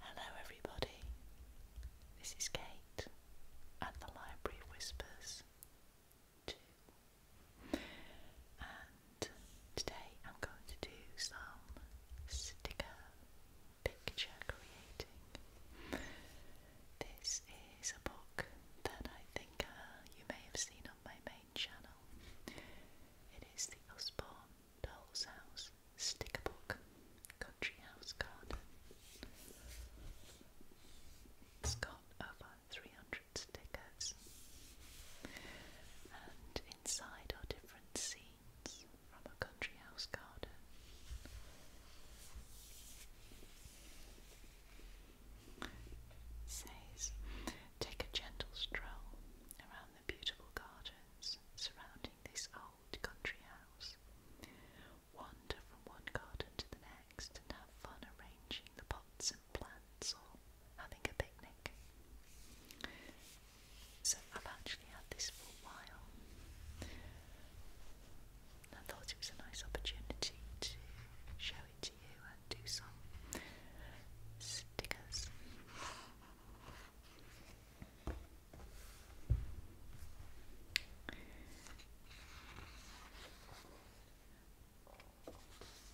Hello, everybody. This is Kate at the Library Whispers And today I'm going to do some sticker picture creating. This is a book that I think uh, you may have seen on my channel. It is the Osborne Doll's House Sticker Book Country House Garden. It's got over 300 stickers, and inside are different scenes from a country house garden says, Take a gentle stroll around the beautiful gardens surrounding this old country house. Wander from one garden to the next have fun arranging the pots and plants or having a picnic. So I've actually had this for a while. I thought it was a nice opportunity to show it to you do some stickers.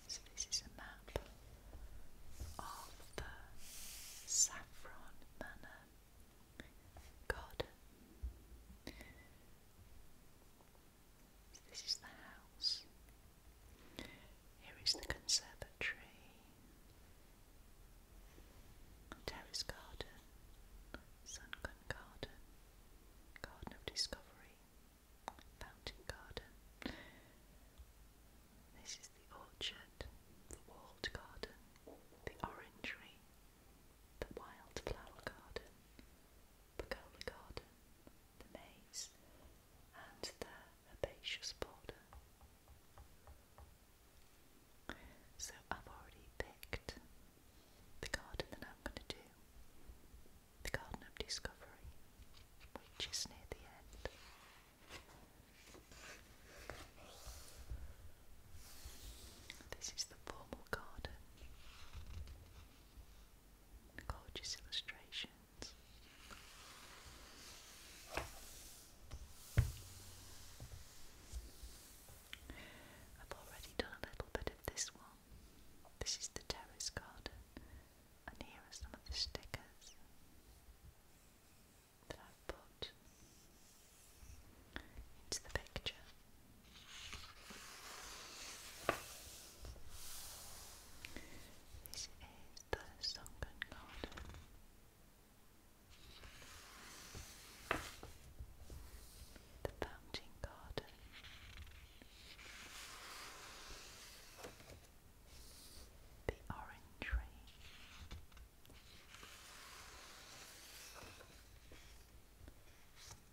So this is a map of the Saffron Manor garden this is the house. Here is the conservatory. Terrace garden. Sunken garden. Garden of discovery. Fountain garden. This is the orchard. The walled garden. The orangery. The wildflower garden. Pergola garden the maize, and the herbaceous border. So I've already picked the garden that I'm going to do, the Garden of Discovery, which is near the end. This is the formal garden. Gorgeous illustrations. I've already done a little bit of this one. This is the terrace garden, and here are some of the stickers that i put into the picture. This is the sunken garden. The fountain garden. The orangery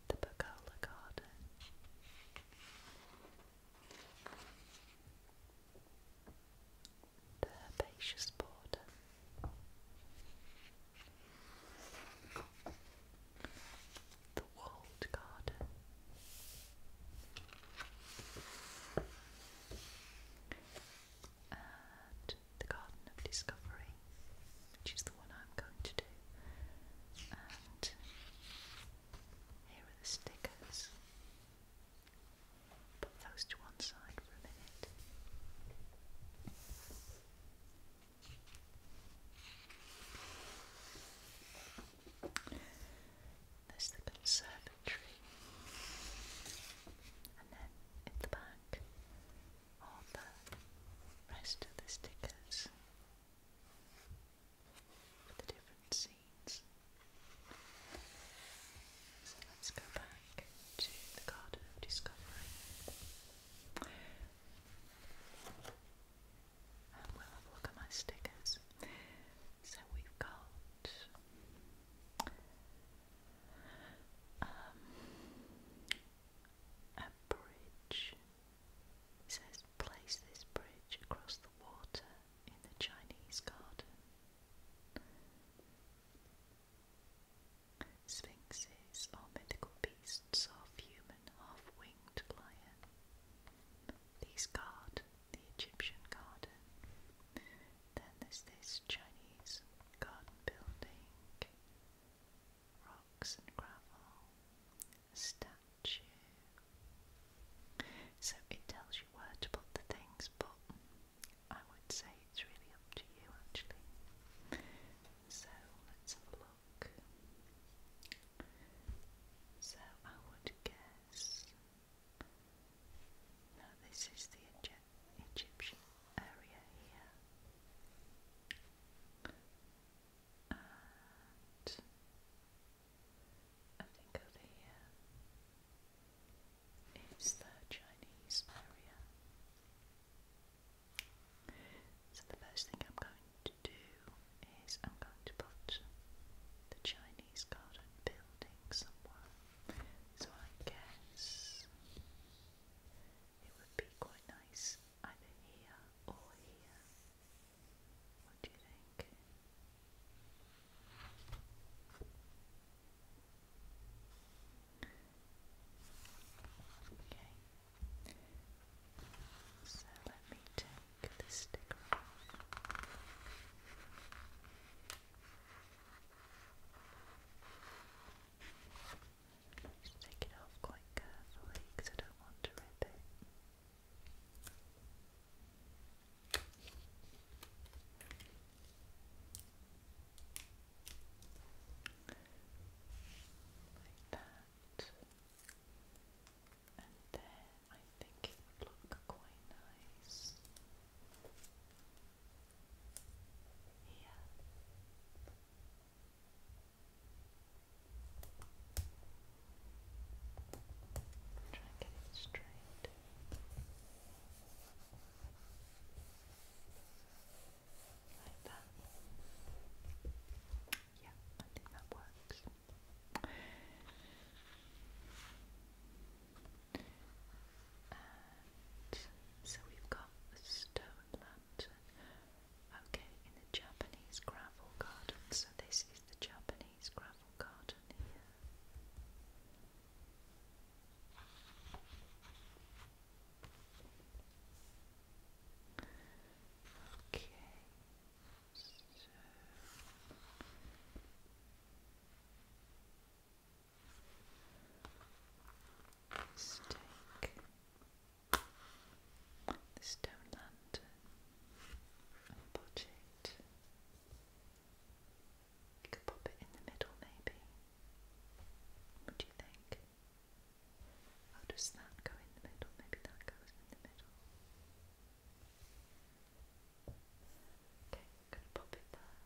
the Pagola Garden. The herbaceous border. The walled garden. And the Garden of Discovery, which is the I'm going to do. And here are the stickers. Put those to one side for a minute. There's the conservatory, and then in the back are the rest of the stickers for the different scenes. So let's go back to the Garden of Discovery. And we'll have a look at my stickers. So we've got um, a bridge it says, place this bridge across the water in the Chinese garden. Sphinxes are mythical beasts half human, half winged lion. These guard the Egyptian garden. Then there's this Chinese garden building, rocks and gravel, statue. So it tells you where to put the things, but I would say it's really up to you actually. So let's have a look. So I would guess. No, this is the Egyptian area here and I think over here um, is the Chinese area. So the first thing I'm going to do is I'm going to put the Chinese garden building somewhere. So I guess it would be quite nice either here or here. What do you think? Okay. So let me take this sticker just take it off quite carefully because I don't want to rip it. Like that. And then I think it would look quite nice. Here. Try and get it straight. Like that. Yeah, I think that works. so we've got the stone lantern. Okay, in the Japanese gravel garden. So this is the Japanese gravel garden here. Okay. So the stone lantern and budget. You could pop it in the middle, maybe. What do you think? How does that go in the middle? Maybe that goes in the middle. Okay, gonna pop it there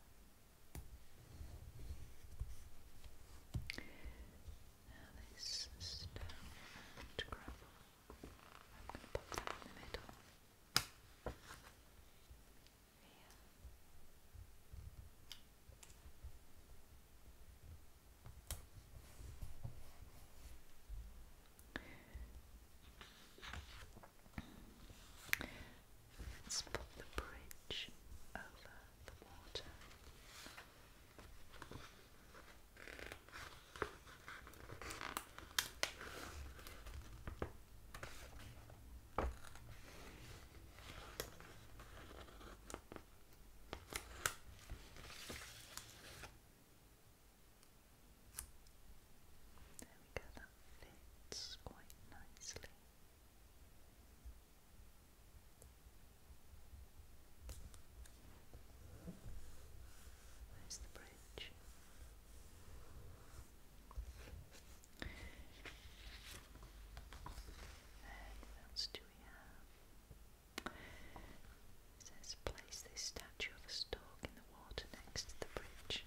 this stone and gravel, I'm going to pop that in the middle. Let's put the bridge over the water. There we go, that fits quite nicely. Where's the bridge? And what we have? It says place this statue of a stork in the water next to the bridge.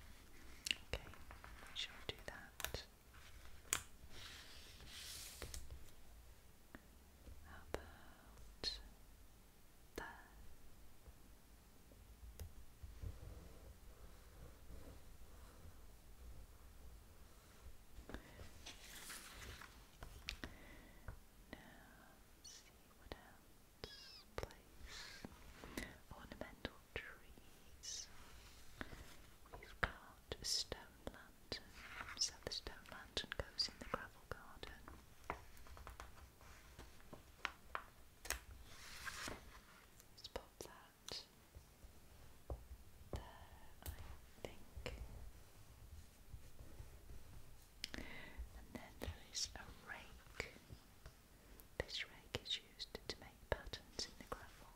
Okay, we shall do that. How about that? Now see what else. Place ornamental trees. We've got got a stone lantern, so the stone lantern goes in the gravel garden. let that there, I think. And then there is a rake. This rake is used to make patterns in the gravel.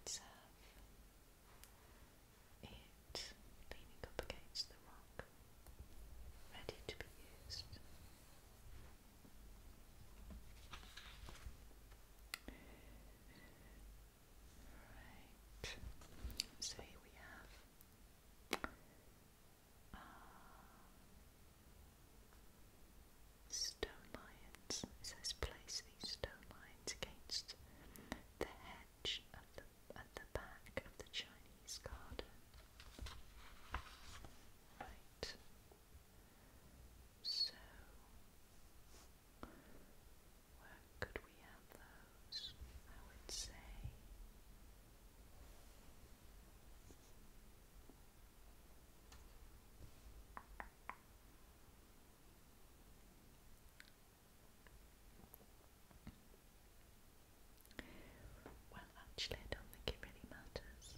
Let's have it leaning up against the rock, ready to be used. Right, so here we have uh, stone lions. It says place these stone lions against the hedge at the, at the back of the Chinese garden. Right. So, where could we have those? I would say well, actually, I don't think it really matters.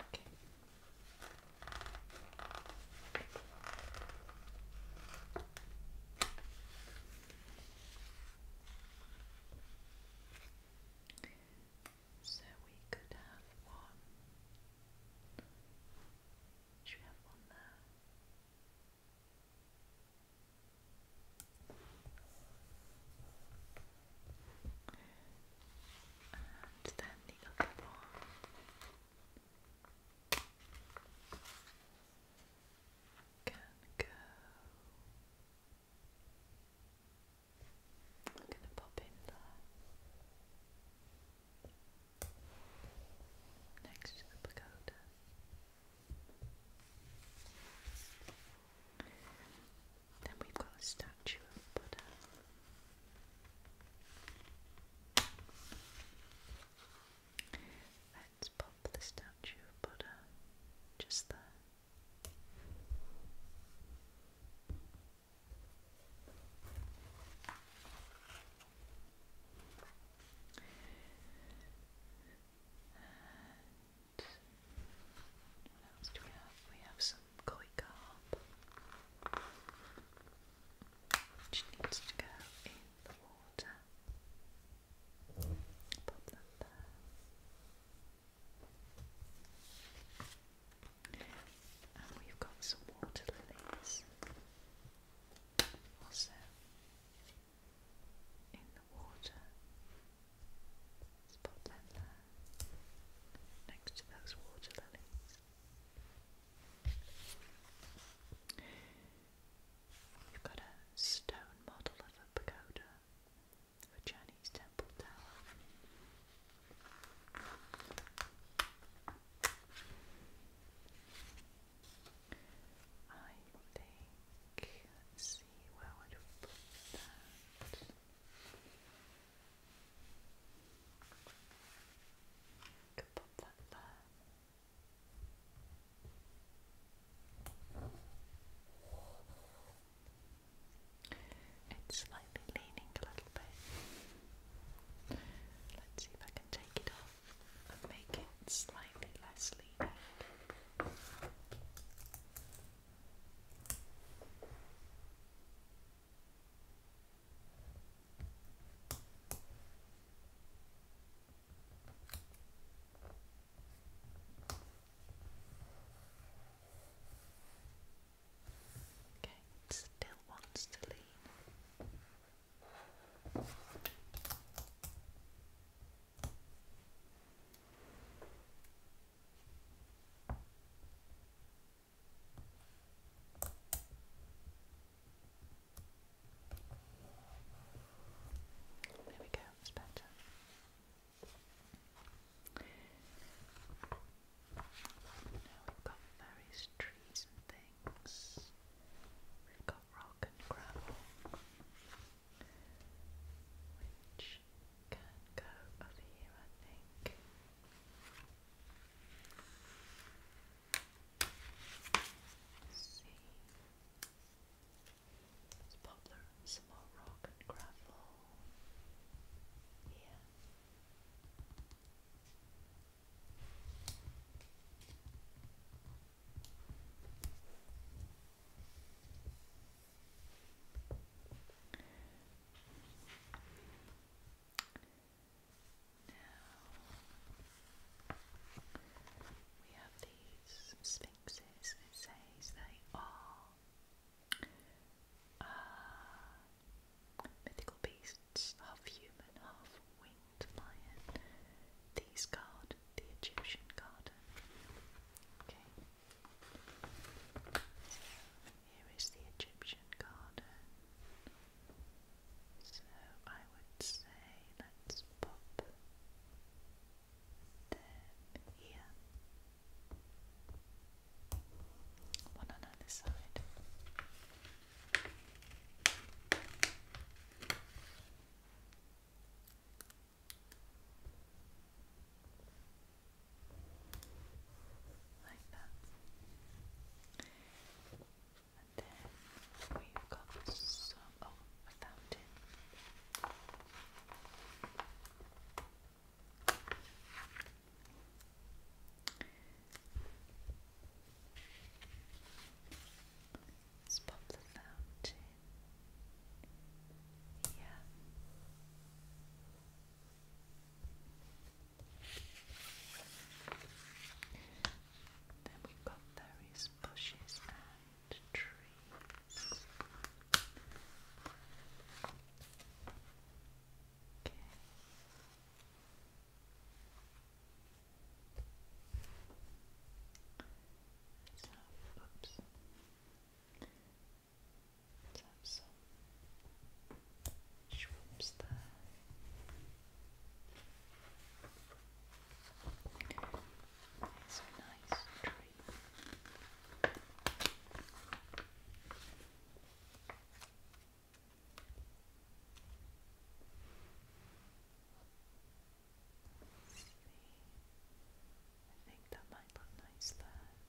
Okay. So we could have one. Should we have one there? and then the other one can go. I'm going to pop in there next to the pagoda. Then we've got a statue of Buddha. Let's pop the statue of just there. what else do we have? We have some some koi carp which needs to go in the water. Pop that there. And we've got some water lilies also in the water. pop them there next to those water lilies. You've got a stone model of a pagoda, a Chinese temple tower. I think, see, where I put that? It's slightly leaning a little bit. Let's see if I can take it off and make it slightly less leaning. Okay, still wants to lean. There we go, it's better. Now we've got various trees and things. We've got rock and gravel, can go over here, I think. see. Let's pop rock and gravel here. Now we have these sphinxes. It says they are mythical beasts, half human, half winged lion. These guard the Egyptian garden. Okay. Here is the Egyptian garden. So I would say let's pop them here. One on either side like that. And then we've got some. Oh, I found it. the fountain. Yeah. Then we've got various bushes and trees. Okay. oops. Let's have there. It's a nice tree. I think that might look nice there.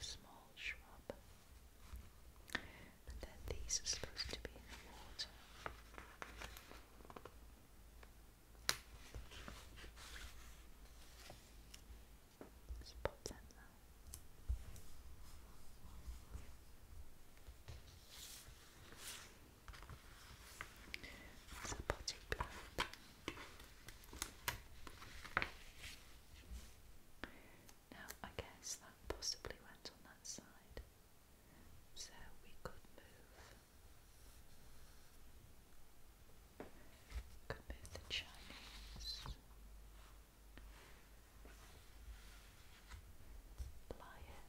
Small shrub and then these are supposed to be in the water. Let's Now I guess that possibly went on that side so we could move, could move the Chinese lion.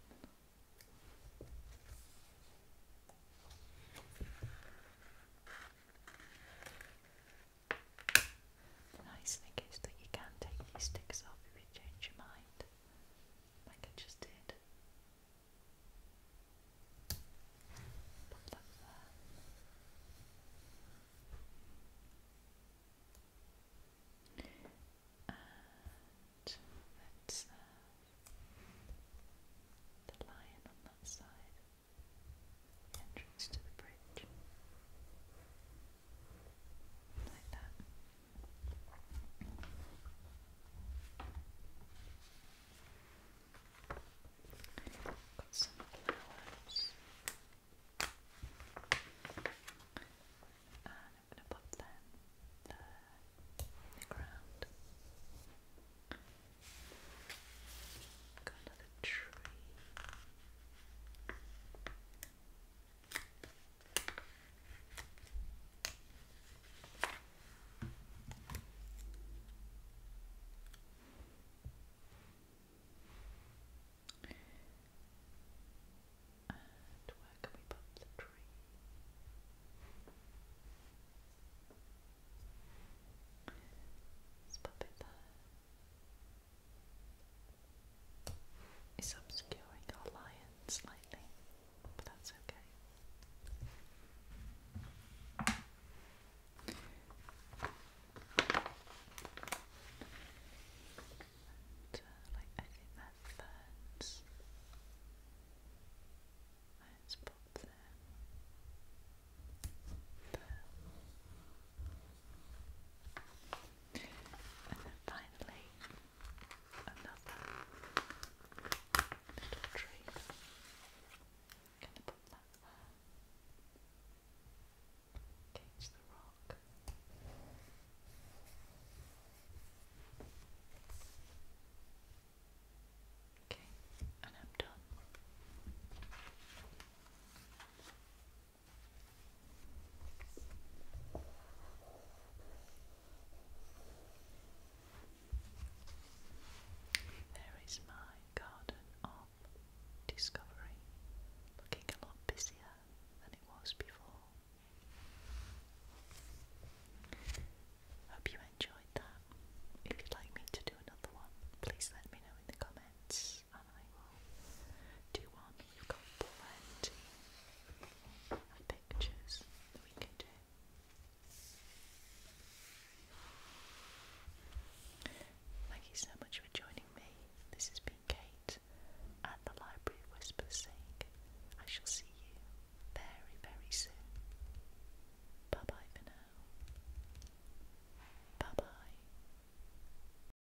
nice thing is that you can take these sticks off if you change your mind like I just did. let's the lion on that side, entrance to the bridge, like that. Got some flowers. And I'm going to pop them there Got another tree. And where can we put the tree? Let's pop it there is obscuring our lion slightly, but that's okay. Uh, I think that ferns. Let's pop them and then finally, another little tree. going to put that there. the rock. Okay, and I'm done. There is my garden of discovery, looking a lot busier than it was before. Hope you enjoyed that. If you'd like me to do another one, please let me know in the comments and I will do one Thank you so much for joining me. This has been Kate at the Library of I shall see you very, very soon. Bye bye for now. Bye bye.